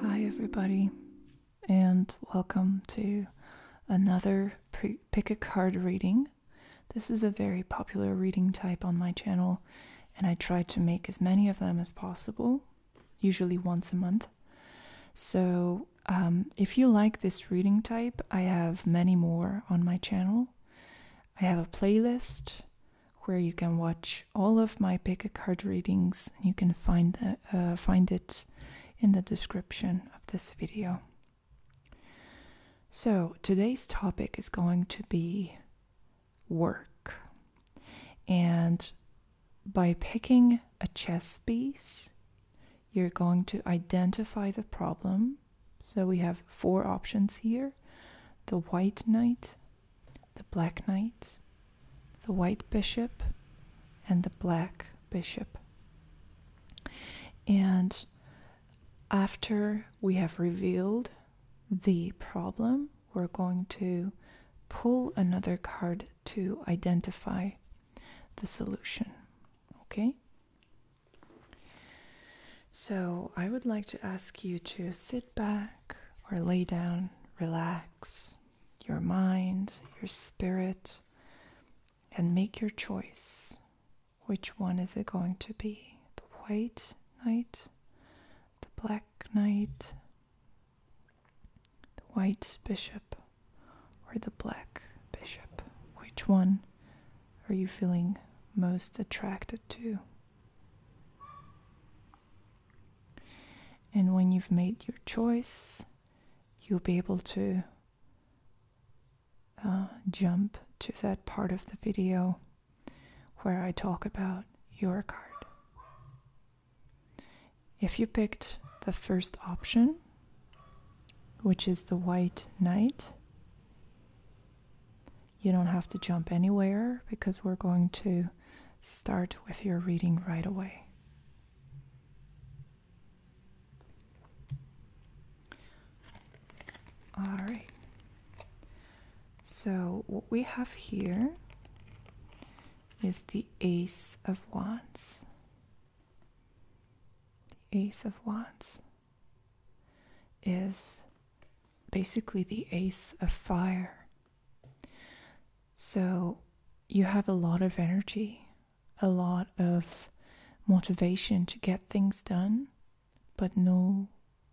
Hi, everybody, and welcome to another pick a card reading. This is a very popular reading type on my channel, and I try to make as many of them as possible usually once a month. So, um, if you like this reading type, I have many more on my channel. I have a playlist where you can watch all of my pick a card readings. You can find uh, find it in the description of this video. So today's topic is going to be work, and by picking a chess piece, you're going to identify the problem. So we have four options here the white knight, the black knight, the white bishop, and the black bishop. And after we have revealed the problem, we're going to pull another card to identify the solution. Okay? So I would like to ask you to sit back or lay down, relax your mind, your spirit, and make your choice. Which one is it going to be? The white knight, the black knight, the white bishop or the black bishop? Which one are you feeling most attracted to? And when you've made your choice, you'll be able to uh, jump to that part of the video where I talk about your card. If you picked the first option, which is the white knight, you don't have to jump anywhere because we're going to start with your reading right away. All right. So, what we have here is the Ace of Wands. The Ace of Wands is basically the Ace of Fire. So you have a lot of energy, a lot of motivation to get things done, but no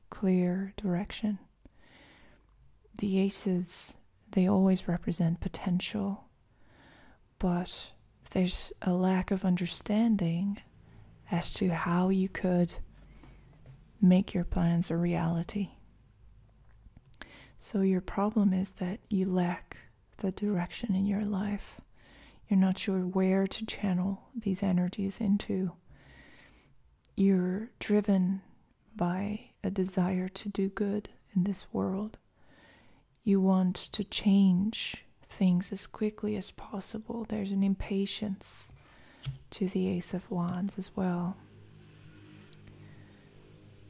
clear direction. The aces, they always represent potential but there's a lack of understanding as to how you could make your plans a reality. So, your problem is that you lack the direction in your life. You're not sure where to channel these energies into. You're driven by a desire to do good in this world you want to change things as quickly as possible. There's an impatience to the Ace of Wands as well.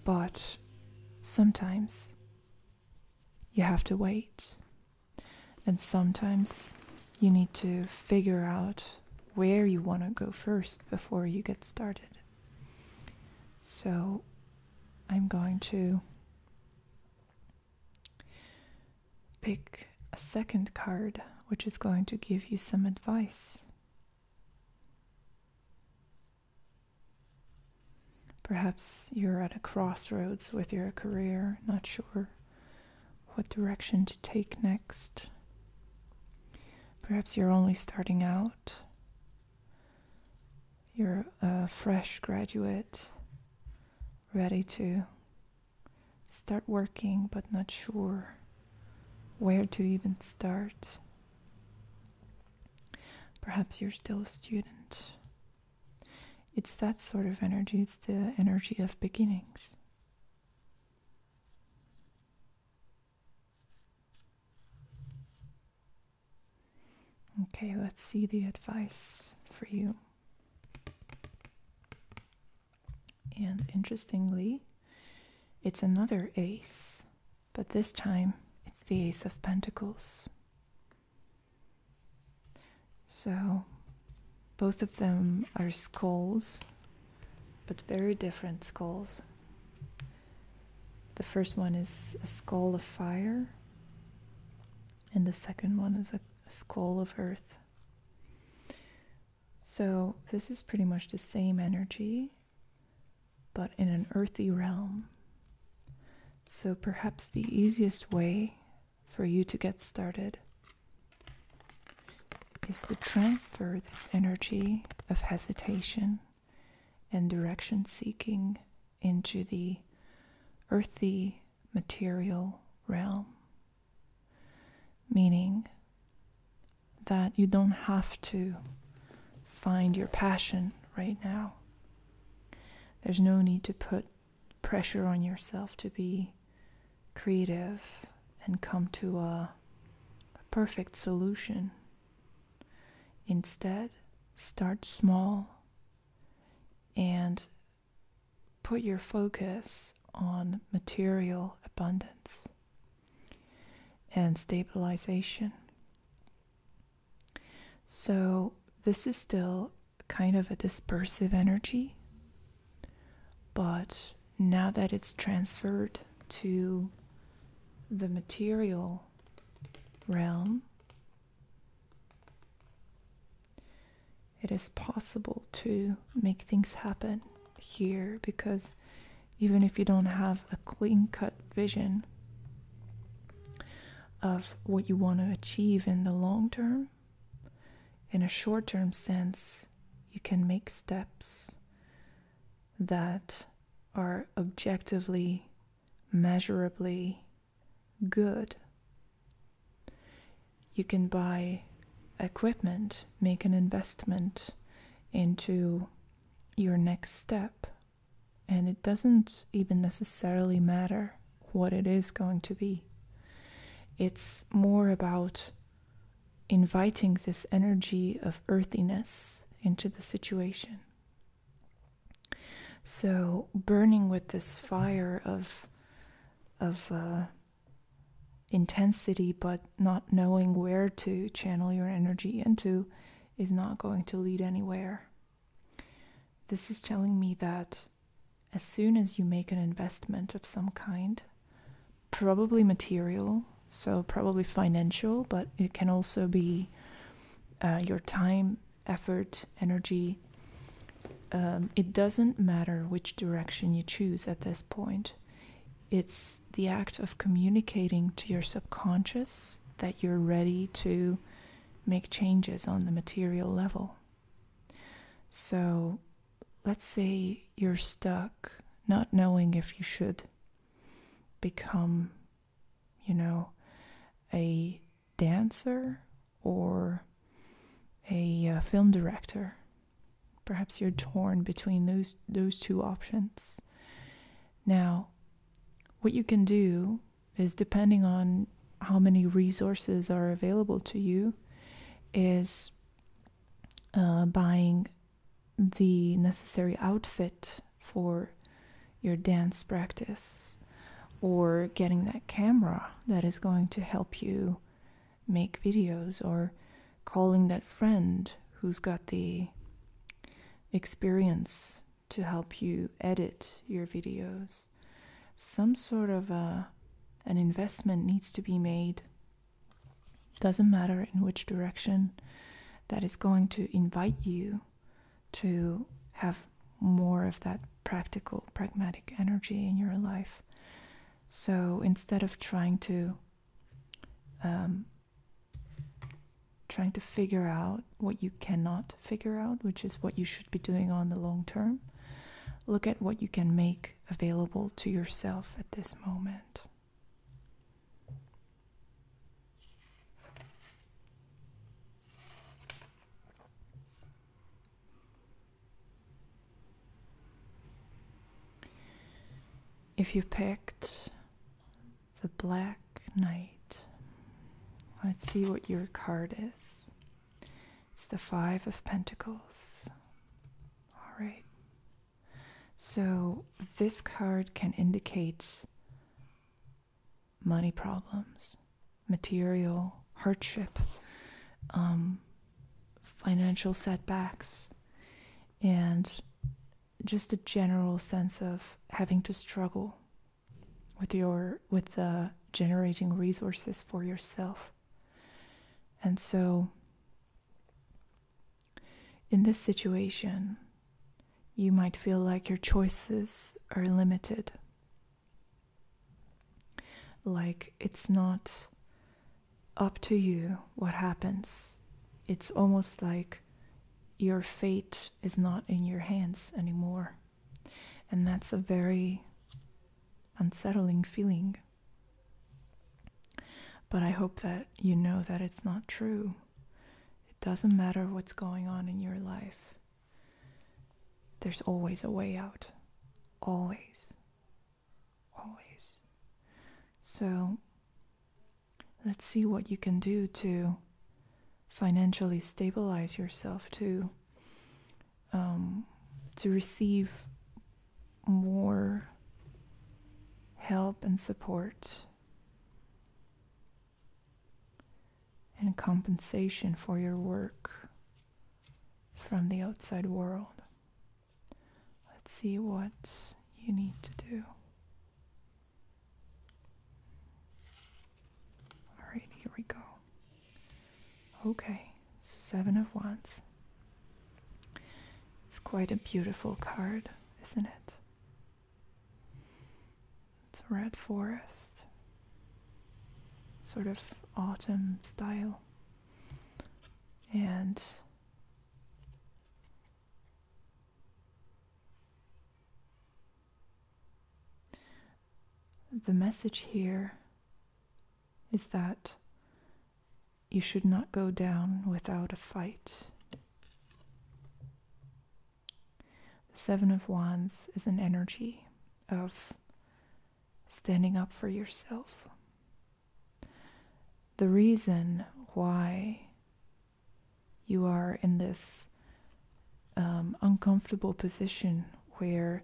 But sometimes you have to wait, and sometimes you need to figure out where you want to go first before you get started. So I'm going to pick a second card which is going to give you some advice. Perhaps you're at a crossroads with your career, not sure what direction to take next. Perhaps you're only starting out. You're a fresh graduate, ready to start working, but not sure where to even start. Perhaps you're still a student. It's that sort of energy, it's the energy of beginnings. Okay, let's see the advice for you. And interestingly, it's another ace, but this time it's the Ace of Pentacles. So both of them are skulls, but very different skulls. The first one is a skull of fire, and the second one is a, skull of earth. So, this is pretty much the same energy, but in an earthy realm. So, perhaps the easiest way for you to get started is to transfer this energy of hesitation and direction seeking into the earthy material realm. Meaning that you don't have to find your passion right now. There's no need to put pressure on yourself to be creative and come to a, perfect solution. Instead, start small and put your focus on material abundance and stabilization. So, this is still kind of a dispersive energy, but now that it's transferred to the material realm, it is possible to make things happen here because even if you don't have a clean cut vision of what you want to achieve in the long term, in a short term sense, you can make steps that are objectively, measurably good. You can buy equipment, make an investment into your next step. And it doesn't even necessarily matter what it is going to be. It's more about inviting this energy of earthiness into the situation. So burning with this fire of of uh, intensity, but not knowing where to channel your energy into, is not going to lead anywhere. This is telling me that as soon as you make an investment of some kind, probably material, so probably financial, but it can also be uh, your time effort, energy. Um, it doesn't matter which direction you choose at this point. It's the act of communicating to your subconscious that you're ready to make changes on the material level. So let's say you're stuck not knowing if you should become you know, a dancer or a uh, film director. Perhaps you're torn between those those two options. Now, what you can do is depending on how many resources are available to you is uh, buying the necessary outfit for your dance practice or getting that camera that is going to help you make videos or calling that friend who's got the experience to help you edit your videos some sort of uh, an investment needs to be made doesn't matter in which direction that is going to invite you to have more of that practical, pragmatic energy in your life. So instead of trying to um, trying to figure out what you cannot figure out, which is what you should be doing on the long term, look at what you can make available to yourself at this moment. If you picked the Black Knight, let's see what your card is. It's the Five of Pentacles. All right. So this card can indicate money problems, material hardship, um, financial setbacks, and just a general sense of having to struggle with your with uh, generating resources for yourself. And so, in this situation, you might feel like your choices are limited like it's not up to you what happens. It's almost like your fate is not in your hands anymore. And that's a very unsettling feeling. But I hope that you know that it's not true. It doesn't matter what's going on in your life, there's always a way out. Always. Always. So let's see what you can do to financially stabilize yourself to um, to receive more help and support and compensation for your work from the outside world. Let's see what you need to do. Alright, here we go. Okay, so Seven of Wands. It's quite a beautiful card, isn't it? It's a red forest, sort of autumn style. And the message here is that you should not go down without a fight. The Seven of Wands is an energy of standing up for yourself. The reason why you are in this um, uncomfortable position where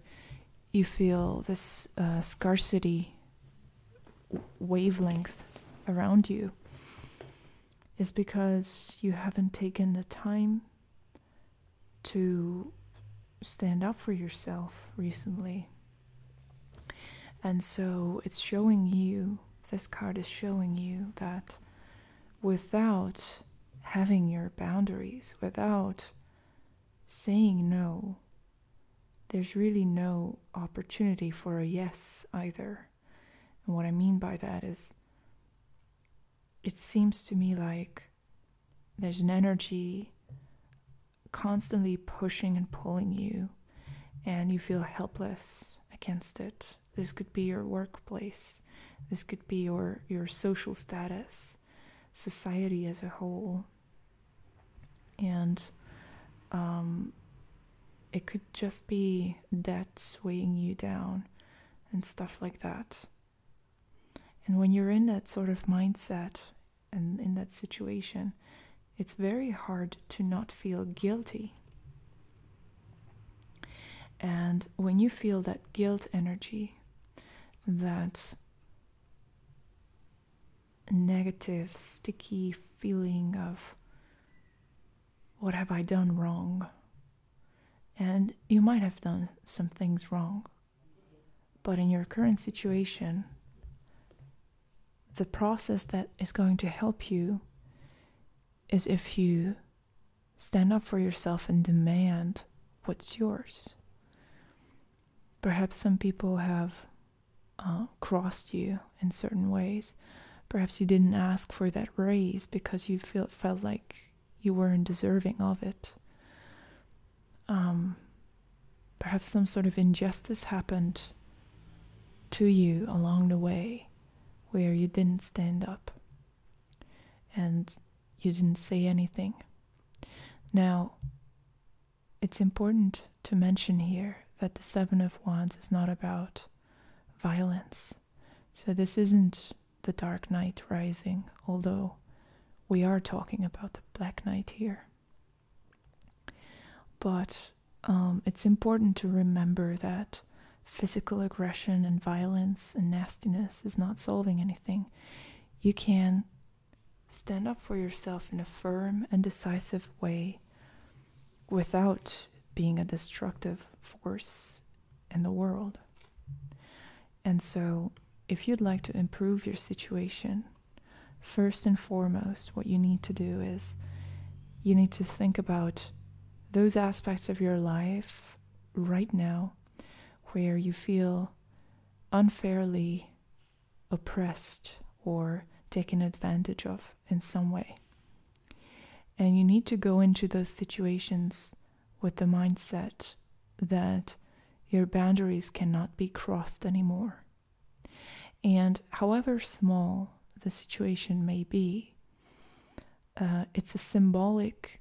you feel this uh, scarcity wavelength around you is because you haven't taken the time to stand up for yourself recently. And so it's showing you, this card is showing you that without having your boundaries, without saying no, there's really no opportunity for a yes either. And what I mean by that is, it seems to me like there's an energy constantly pushing and pulling you, and you feel helpless against it. This could be your workplace, this could be your, your social status, society as a whole. And um, it could just be debt weighing you down and stuff like that. And when you're in that sort of mindset and in that situation, it's very hard to not feel guilty. And when you feel that guilt energy, that negative, sticky feeling of what have I done wrong? and you might have done some things wrong. But in your current situation, the process that is going to help you is if you stand up for yourself and demand what's yours. Perhaps some people have uh, crossed you in certain ways. Perhaps you didn't ask for that raise because you felt like you weren't deserving of it. Um, perhaps some sort of injustice happened to you along the way where you didn't stand up and you didn't say anything. Now, it's important to mention here that the Seven of Wands is not about violence. So, this isn't the Dark night Rising, although we are talking about the Black night here. But um, it's important to remember that physical aggression and violence and nastiness is not solving anything. You can stand up for yourself in a firm and decisive way without being a destructive force in the world. And so, if you'd like to improve your situation, first and foremost, what you need to do is you need to think about those aspects of your life right now where you feel unfairly oppressed or taken advantage of in some way. And you need to go into those situations with the mindset that your boundaries cannot be crossed anymore. And however small the situation may be, uh, it's a symbolic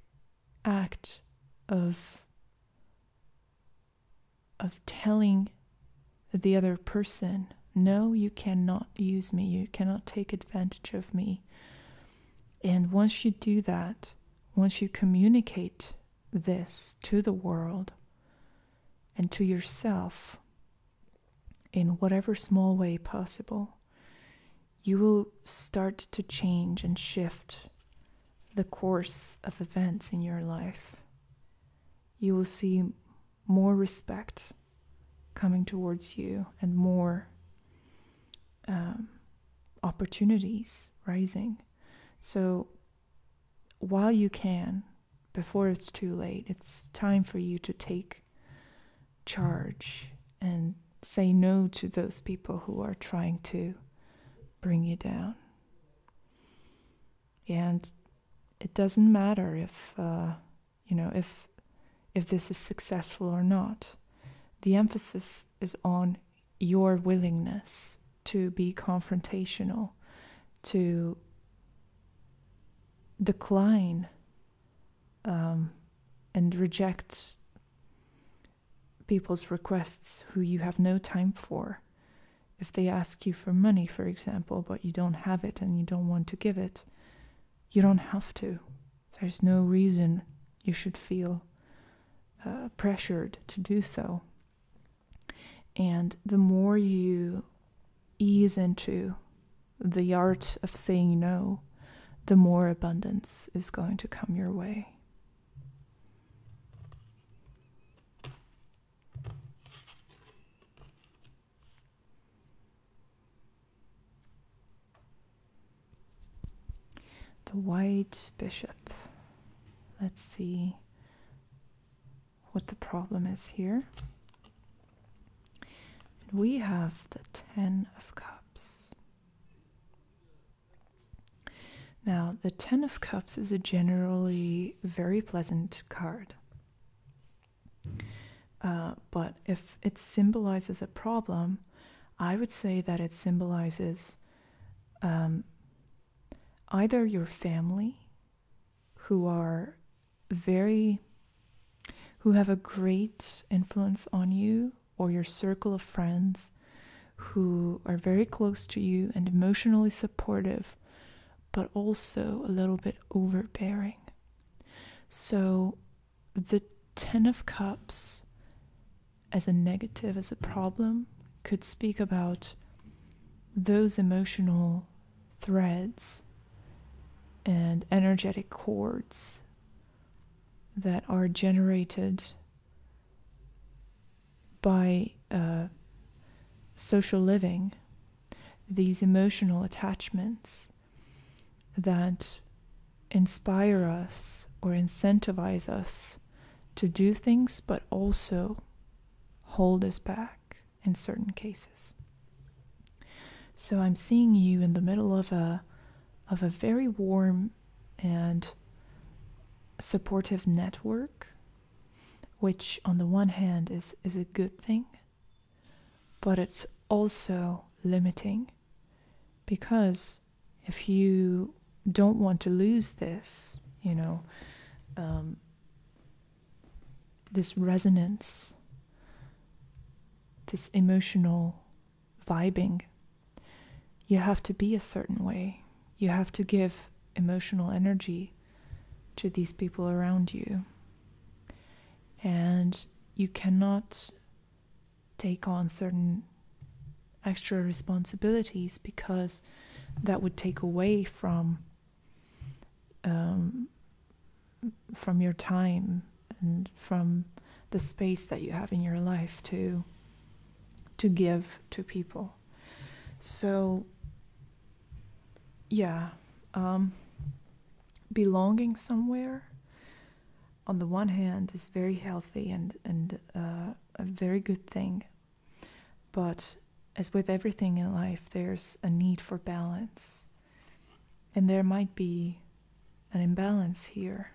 act of of telling the other person, no, you cannot use me, you cannot take advantage of me. And once you do that, once you communicate this to the world and to yourself in whatever small way possible, you will start to change and shift the course of events in your life. You will see more respect coming towards you and more um, opportunities rising. So while you can, before it's too late, it's time for you to take charge and say no to those people who are trying to bring you down. And it doesn't matter if uh, you know if if this is successful or not. The emphasis is on your willingness to be confrontational, to decline um, and reject people's requests who you have no time for. If they ask you for money, for example, but you don't have it and you don't want to give it, you don't have to. There's no reason you should feel uh, pressured to do so. And the more you ease into the art of saying no, the more abundance is going to come your way. The white bishop. Let's see what the problem is here. And we have the Ten of Cups. Now, the Ten of Cups is a generally very pleasant card. Uh, but if it symbolizes a problem, I would say that it symbolizes um, either your family, who are very, who have a great influence on you, or your circle of friends who are very close to you and emotionally supportive, but also a little bit overbearing. So the Ten of Cups as a negative, as a problem, could speak about those emotional threads and energetic cords that are generated by uh, social living, these emotional attachments that inspire us or incentivize us to do things, but also hold us back in certain cases. So I'm seeing you in the middle of a of a very warm and supportive network, which on the one hand is, is a good thing, but it's also limiting because if you don't want to lose this, you know, um, this resonance, this emotional vibing, you have to be a certain way. You have to give emotional energy to these people around you. And you cannot take on certain extra responsibilities because that would take away from um, from your time and from the space that you have in your life to to give to people. So yeah, um, belonging somewhere on the one hand is very healthy and and uh, a very good thing. But as with everything in life, there's a need for balance. And there might be an imbalance here.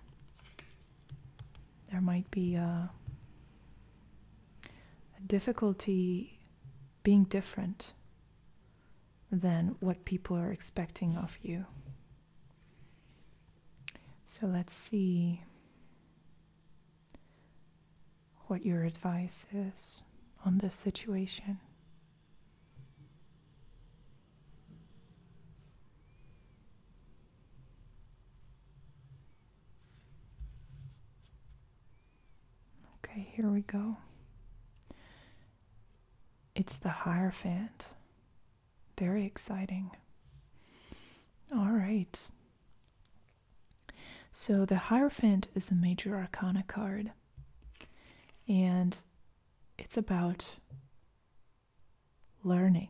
There might be uh, a, difficulty being different than what people are expecting of you. So let's see what your advice is on this situation. Okay, here we go. It's the Hierophant very exciting. All right. So the Hierophant is the major arcana card, and it's about learning.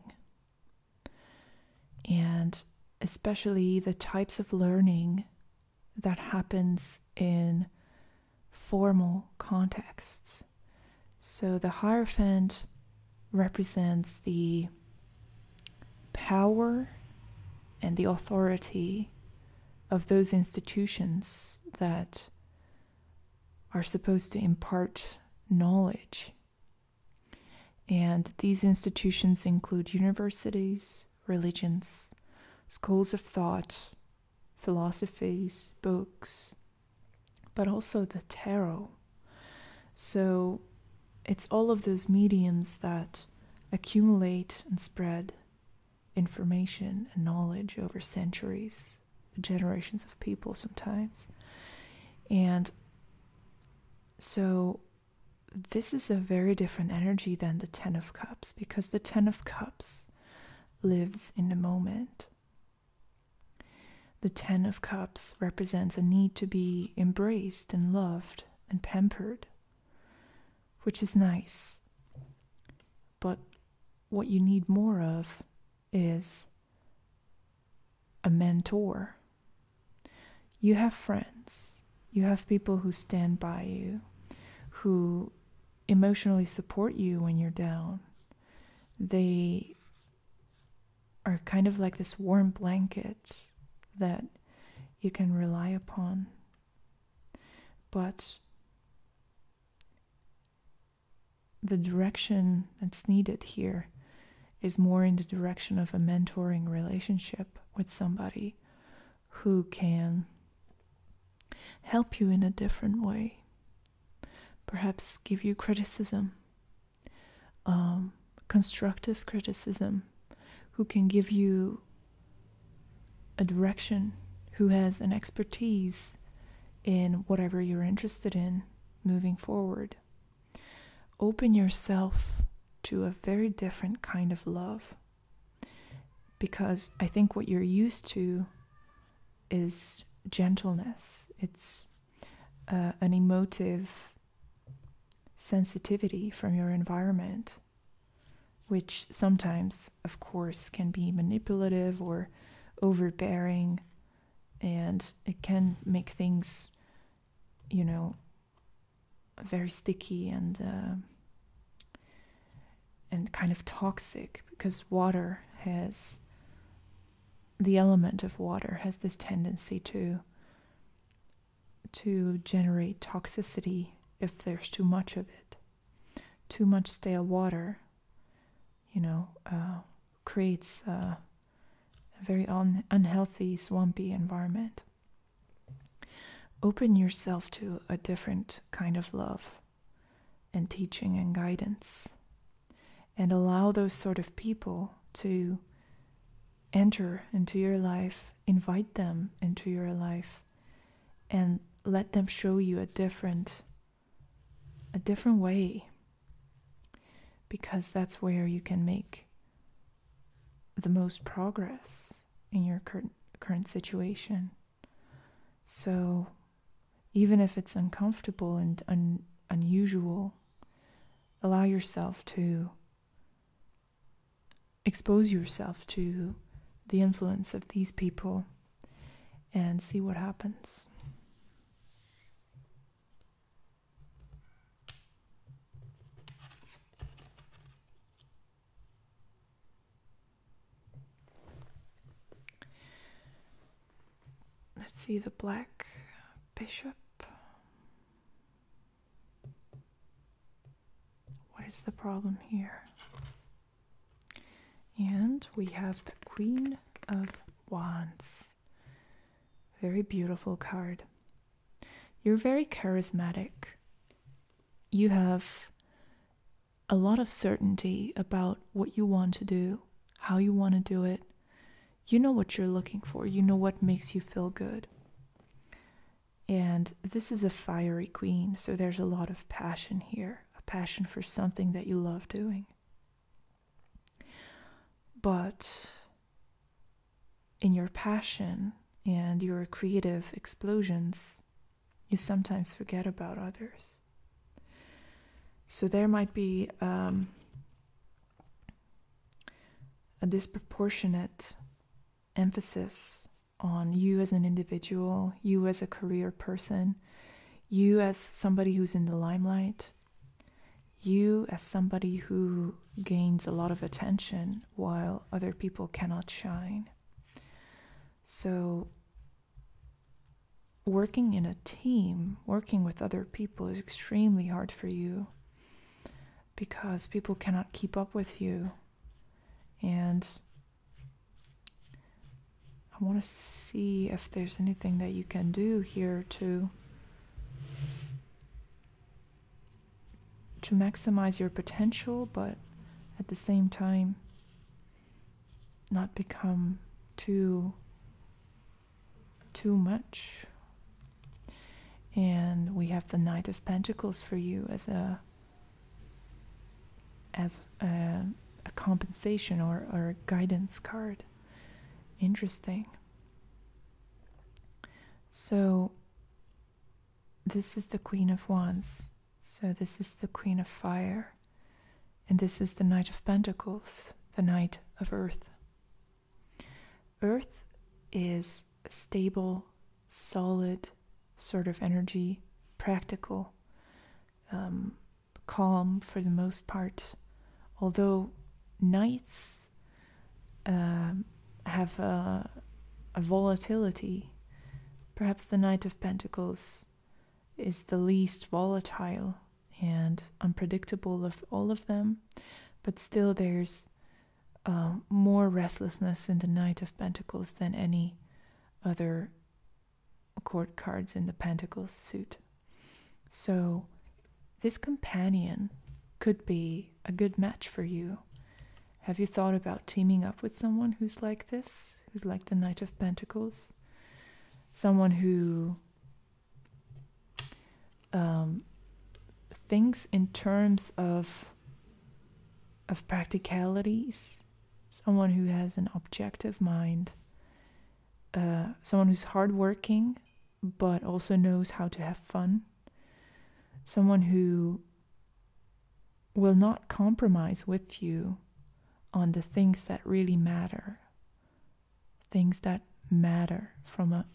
And especially the types of learning that happens in formal contexts. So the Hierophant represents the power and the authority of those institutions that are supposed to impart knowledge. And these institutions include universities, religions, schools of thought, philosophies, books, but also the tarot, so it's all of those mediums that accumulate and spread information and knowledge over centuries, generations of people sometimes. And so this is a very different energy than the 10 of cups because the 10 of cups lives in the moment the Ten of Cups represents a need to be embraced and loved and pampered, which is nice. But what you need more of is a mentor. You have friends, you have people who stand by you, who emotionally support you when you're down. They are kind of like this warm blanket that you can rely upon. But the direction that's needed here is more in the direction of a mentoring relationship with somebody who can help you in a different way, perhaps give you criticism, um, constructive criticism, who can give you a direction, who has an expertise in whatever you're interested in moving forward. Open yourself to a very different kind of love because I think what you're used to is gentleness, it's uh, an emotive sensitivity from your environment, which sometimes, of course, can be manipulative or overbearing, and it can make things, you know, very sticky and uh, and kind of toxic because water has the element of water has this tendency to to generate toxicity if there's too much of it. Too much stale water, you know, uh, creates uh, a very unhealthy, swampy environment. Open yourself to a different kind of love and teaching and guidance, and allow those sort of people to enter into your life, invite them into your life, and let them show you a different a different way because that's where you can make the most progress in your current situation. So even if it's uncomfortable and unusual, allow yourself to expose yourself to the influence of these people and see what happens. Let's see the black bishop. What is the problem here? And we have the Queen of Wands. Very beautiful card. You're very charismatic. You have a lot of certainty about what you want to do, how you want to do it you know what you're looking for, you know what makes you feel good. And this is a fiery queen, so there's a lot of passion here a passion for something that you love doing. But in your passion and your creative explosions, you sometimes forget about others. So there might be um, a disproportionate emphasis on you as an individual, you as a career person, you as somebody who's in the limelight, you as somebody who gains a lot of attention while other people cannot shine. So, working in a team, working with other people is extremely hard for you because people cannot keep up with you. And I want to see if there's anything that you can do here to to maximize your potential, but at the same time not become too too much. And we have the Knight of Pentacles for you as a as a, compensation or, or guidance card. Interesting. So this is the Queen of Wands. So this is the Queen of Fire. And this is the Knight of Pentacles, the Knight of Earth. Earth is stable, solid sort of energy, practical, um, calm for the most part. Although nights um, have a volatility, perhaps the Knight of Pentacles is the least volatile and unpredictable of all of them, but still there's um, more restlessness in the Knight of Pentacles than any other court cards in the Pentacles suit. So, this companion could be a good match for you. Have you thought about teaming up with someone who's like this, who's like the Knight of Pentacles? Someone who um, things in terms of of practicalities someone who has an objective mind uh, someone who's hardworking but also knows how to have fun someone who will not compromise with you on the things that really matter things that matter from a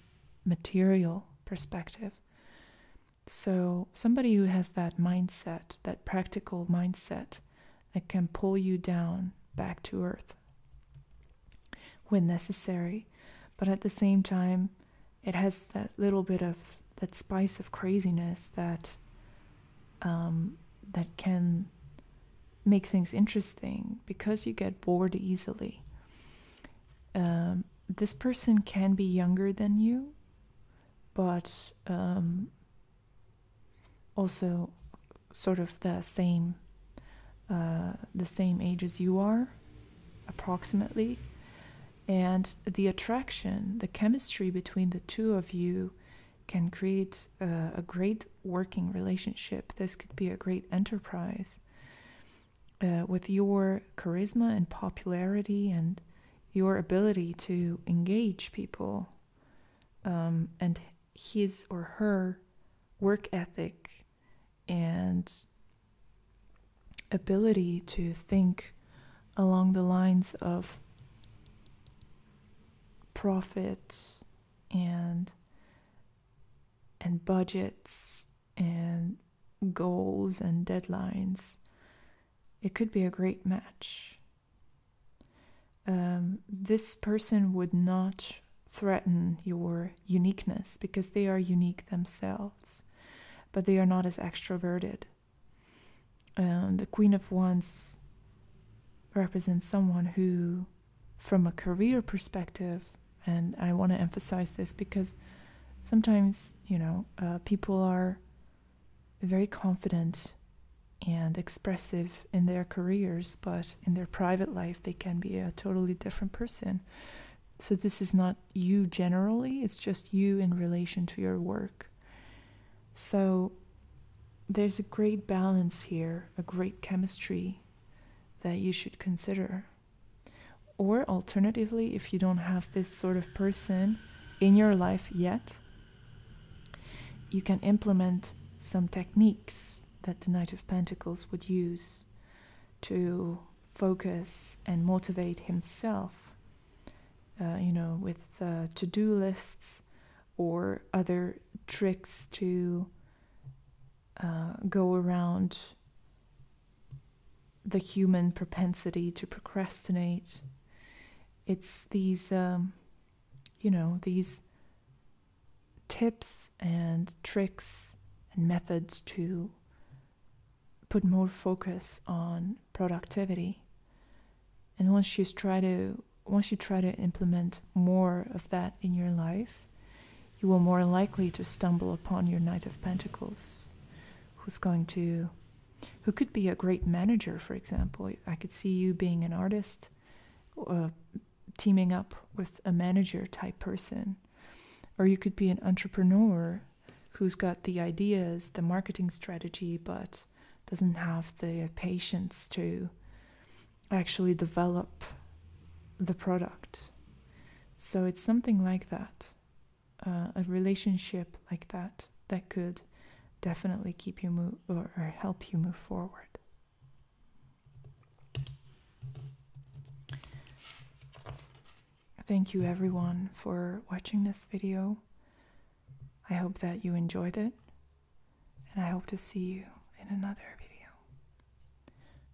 material perspective so, somebody who has that mindset, that practical mindset, that can pull you down back to earth when necessary. But at the same time, it has that little bit of that spice of craziness that um, that can make things interesting because you get bored easily. Um, this person can be younger than you, but um, also sort of the same uh, the same age as you are, approximately. And the attraction, the chemistry between the two of you can create uh, a great working relationship. This could be a great enterprise. Uh, with your charisma and popularity and your ability to engage people um, and his or her work ethic and ability to think along the lines of profit and and budgets and goals and deadlines, it could be a great match. Um, this person would not threaten your uniqueness because they are unique themselves, but they are not as extroverted. Um, the Queen of Wands represents someone who, from a career perspective, and I want to emphasize this because sometimes, you know, uh, people are very confident and expressive in their careers, but in their private life, they can be a totally different person. So, this is not you generally, it's just you in relation to your work. So, there's a great balance here, a great chemistry that you should consider. Or alternatively, if you don't have this sort of person in your life yet, you can implement some techniques that the Knight of Pentacles would use to focus and motivate himself, uh, you know, with uh, to do lists or other tricks to uh, go around the human propensity to procrastinate. It's these, um, you know, these tips and tricks and methods to put more focus on productivity. And once you try to once you try to implement more of that in your life, you will more likely to stumble upon your Knight of Pentacles who's going to who could be a great manager for example i could see you being an artist teaming up with a manager type person or you could be an entrepreneur who's got the ideas the marketing strategy but doesn't have the patience to actually develop the product so it's something like that uh, a relationship like that that could definitely keep you move or help you move forward. Thank you everyone for watching this video. I hope that you enjoyed it, and I hope to see you in another video.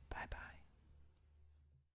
Bye bye.